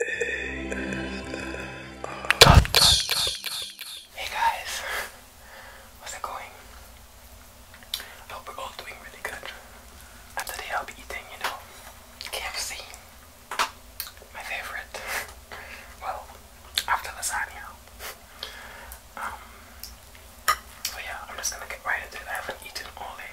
Hey guys, how's it going? I hope we're all doing really good. And today i eating, you know, KFC. My favorite. Well, after lasagna. Um, so yeah, I'm just gonna get right into it. I haven't eaten all day.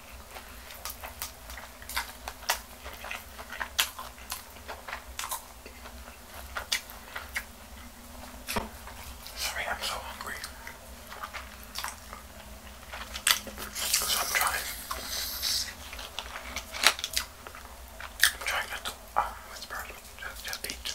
Sorry, I'm so hungry. So I'm trying. I'm trying not to ah, um, whisper. Just, just eat.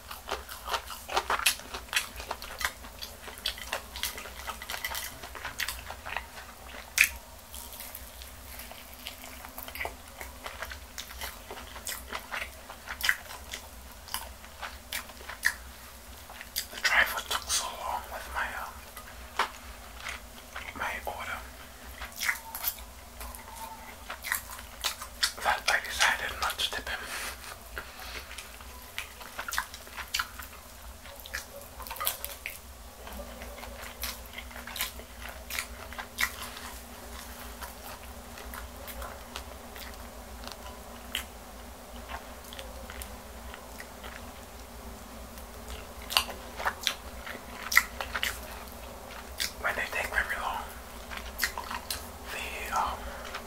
The driver took so long with my um, my order that I decided not to tip him. When they take very long, the um,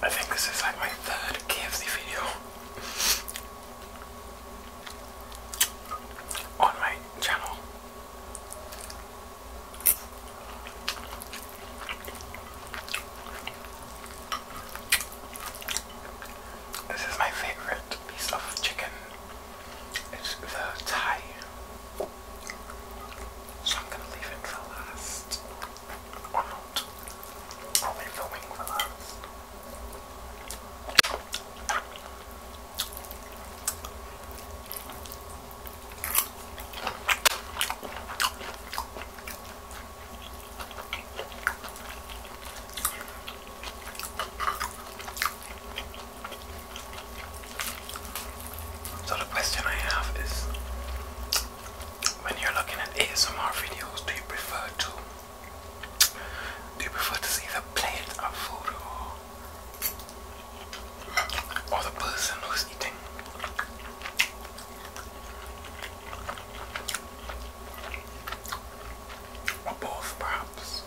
I think this is like my third KFC video on my channel. This is my favorite piece of chicken. It's the Thai so I'm gonna leave it for last. Or not. I'll leave the wing for last. So the question I have is, when you're looking at ASMR videos, do you prefer to do you prefer to see the plate of food or, or the person who's eating? Or both perhaps.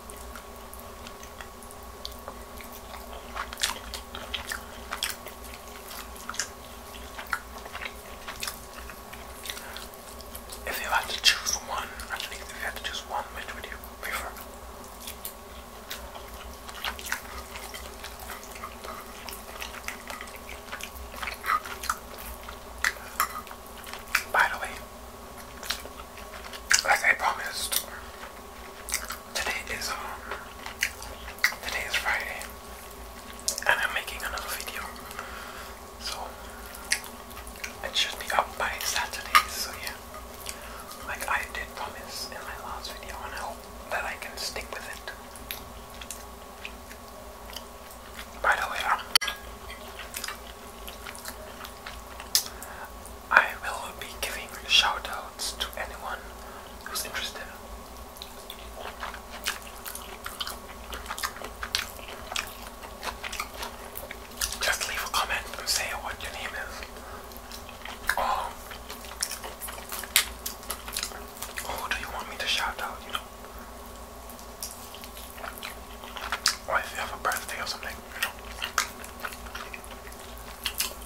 If you had to choose one, actually, if you had to choose one, which would you prefer? By the way, like I promised, today is um today is Friday, and I'm making another video, so it should be up by Saturday. So yeah, like I did promise in my last video, and that I can stick with it. By the way, um, I will be giving shout outs to anyone who's interested. Just leave a comment and say what your name is. Or um, who do you want me to shout out, you know? if you have a birthday or something,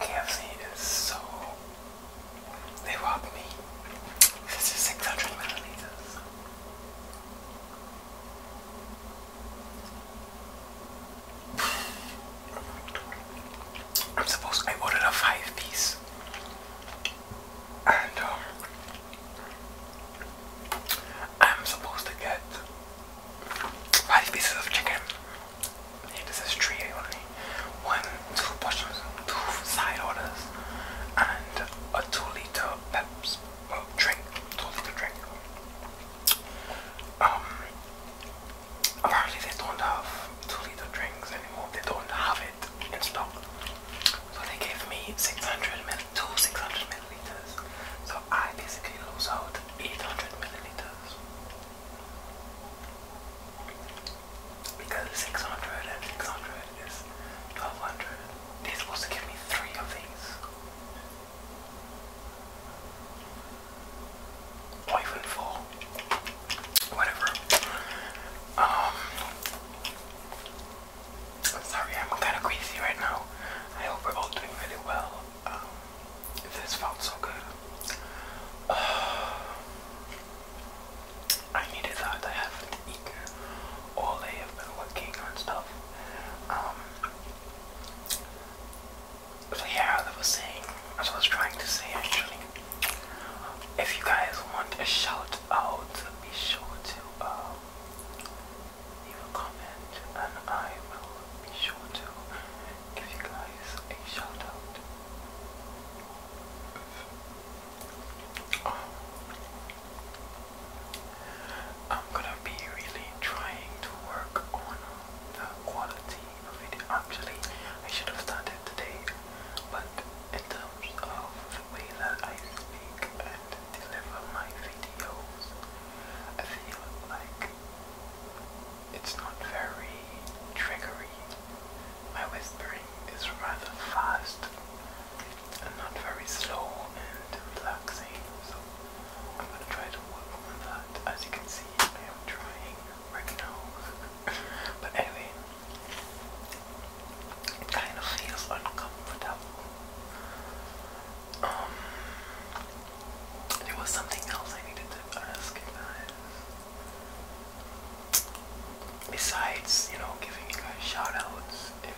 KFC is so they robbed me. This is 600 milliliters. I'm supposed I ordered a five piece. And um, I'm supposed to get five pieces of chicken it says three only. One two portions, two side orders, and a two liter Pepsi drink, two liter drink. Um, apparently they don't have two liter drinks anymore. They don't have it in stock. So they gave me two 600 milliliters. So I basically lose out 800 milliliters. Because 600 is 1200. They're supposed to give me three of these. even four. Whatever. Um, sorry, I'm kind of crazy right now. I hope we're all doing really well. Um, this felt so good. I needed that. I haven't eaten all day. have been working on stuff. Um, so yeah, I was saying, as I was trying to say actually, if you guys want a shout out, be sure to um, leave a comment and I will be sure to give you guys a shout out. Oh. I'm gonna be really trying to work on the quality of video. Actually, I should have started today, but in terms of the way that I speak and deliver my videos, I feel like it's not very triggery. My whispering is rather fast and not very slow and relaxing. So I'm gonna try to work on that. As you can see, I am trying right now. but anyway, it kind of feels uncomfortable. Um, there was something else I needed to ask you guys besides, you know, giving you guys shout outs, if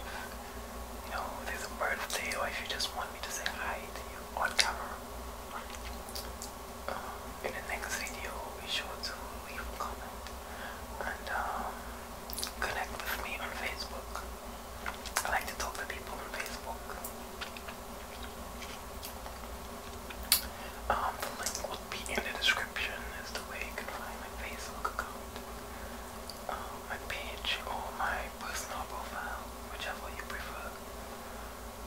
you know there's a birthday or if you just want me to say hi to you on camera. Um, in the next video be sure to leave a comment and um, connect with me on Facebook. I like to talk to people on Facebook. Um, the link will be in the description as to where you can find my Facebook account, um, my page, or my personal profile, whichever you prefer.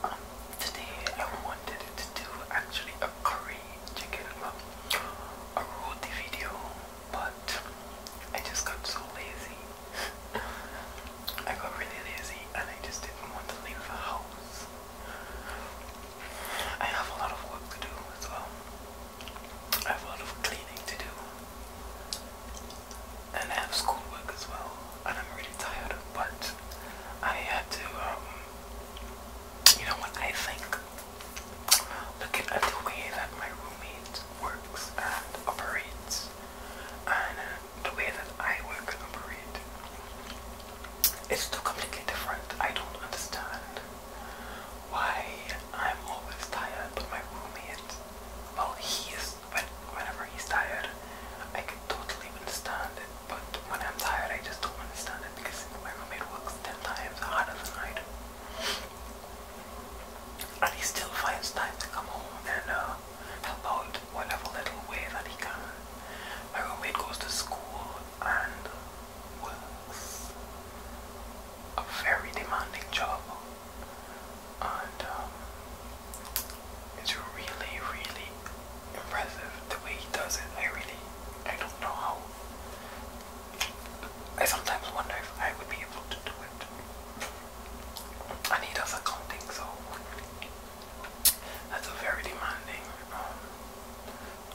Um, today I wanted to do actually a curry chicken, well, um, a roti video, but I just got so lazy. I got really lazy and I just didn't want to leave the house. I have a lot of work to do as well. I have a lot of cleaning to do. And I have schoolwork as well. And I'm really tired, but I had to, um, you know what I think? Looking at the way that my roommate works and operates, and uh, the way that I work and operate, it's two completely different. I don't understand why I'm always tired, but my roommate, well, he is, when, whenever he's tired, I can totally understand it, but when I'm tired, I just don't understand it because my roommate works 10 times harder than I do. And he still finds time to come home and uh, help out whatever little way that he can. My roommate goes to school and works a very demanding job, and um, it's really, really impressive the way he does it. I really, I don't know how. I sometimes wonder if I would be able to do it. And he does accounting, so that's a very demanding um,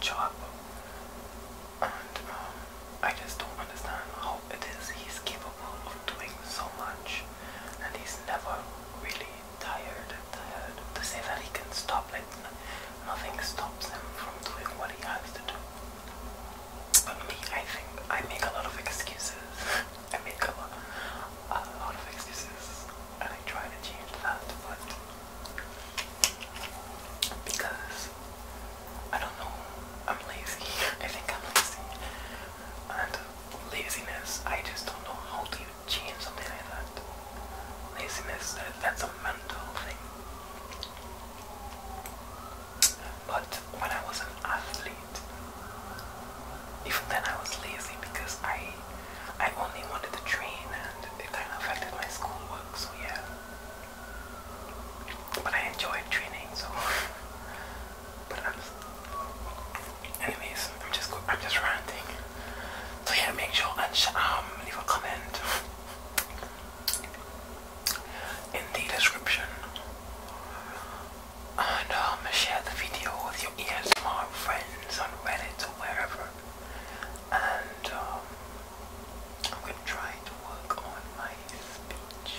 job, and um, I just don't understand how it is he's capable of doing so much, and he's never really tired. to say that he can stop, it, nothing stops him from doing what he has to do. But me, I think I make a lot of excuses. I make a lot of excuses. I try to change that, but because I don't know, I'm lazy. I think I'm lazy, and laziness. I just don't know how to change something like that. Laziness. that's a mental thing. But when I was an athlete, even then I was lazy because I I only wanted to train and it kind of affected my schoolwork, so yeah. But I enjoyed training, so. but I'm. Anyways, I'm just I'm just ranting. So yeah, make sure and um leave a comment in the description and um share the video with your ESMR friends on Reddit or wherever work. And um, I'm going to try to work on my speech,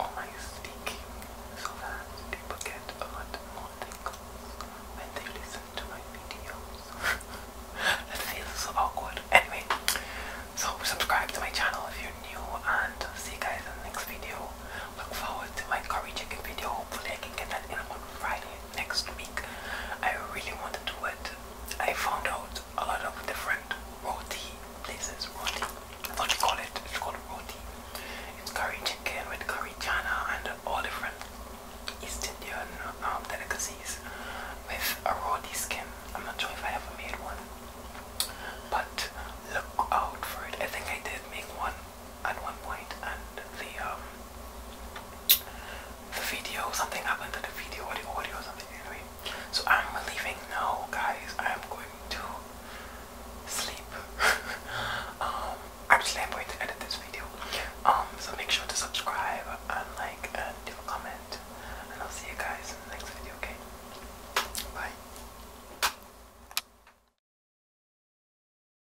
on my speaking, so that people get a lot more tingles when they listen to my videos. that feels so awkward. Anyway, so subscribe to my channel if you're new, and see you guys in the next video. Look forward to my curry video. Hopefully, I can get that in on Friday next week. I really want to do I found out a lot of different roti places. Roti, that's what you call it. It's called roti. It's curry chicken with curry chana and all different East Indian um, delicacies with a roti skin. I'm not sure if I ever made one, but look out for it. I think I did make one at one point and the um the video something happened to the video or the audio or something so I'm leaving now guys I'm going to sleep um actually I'm going to edit this video um so make sure to subscribe and like and leave a comment and I'll see you guys in the next video okay bye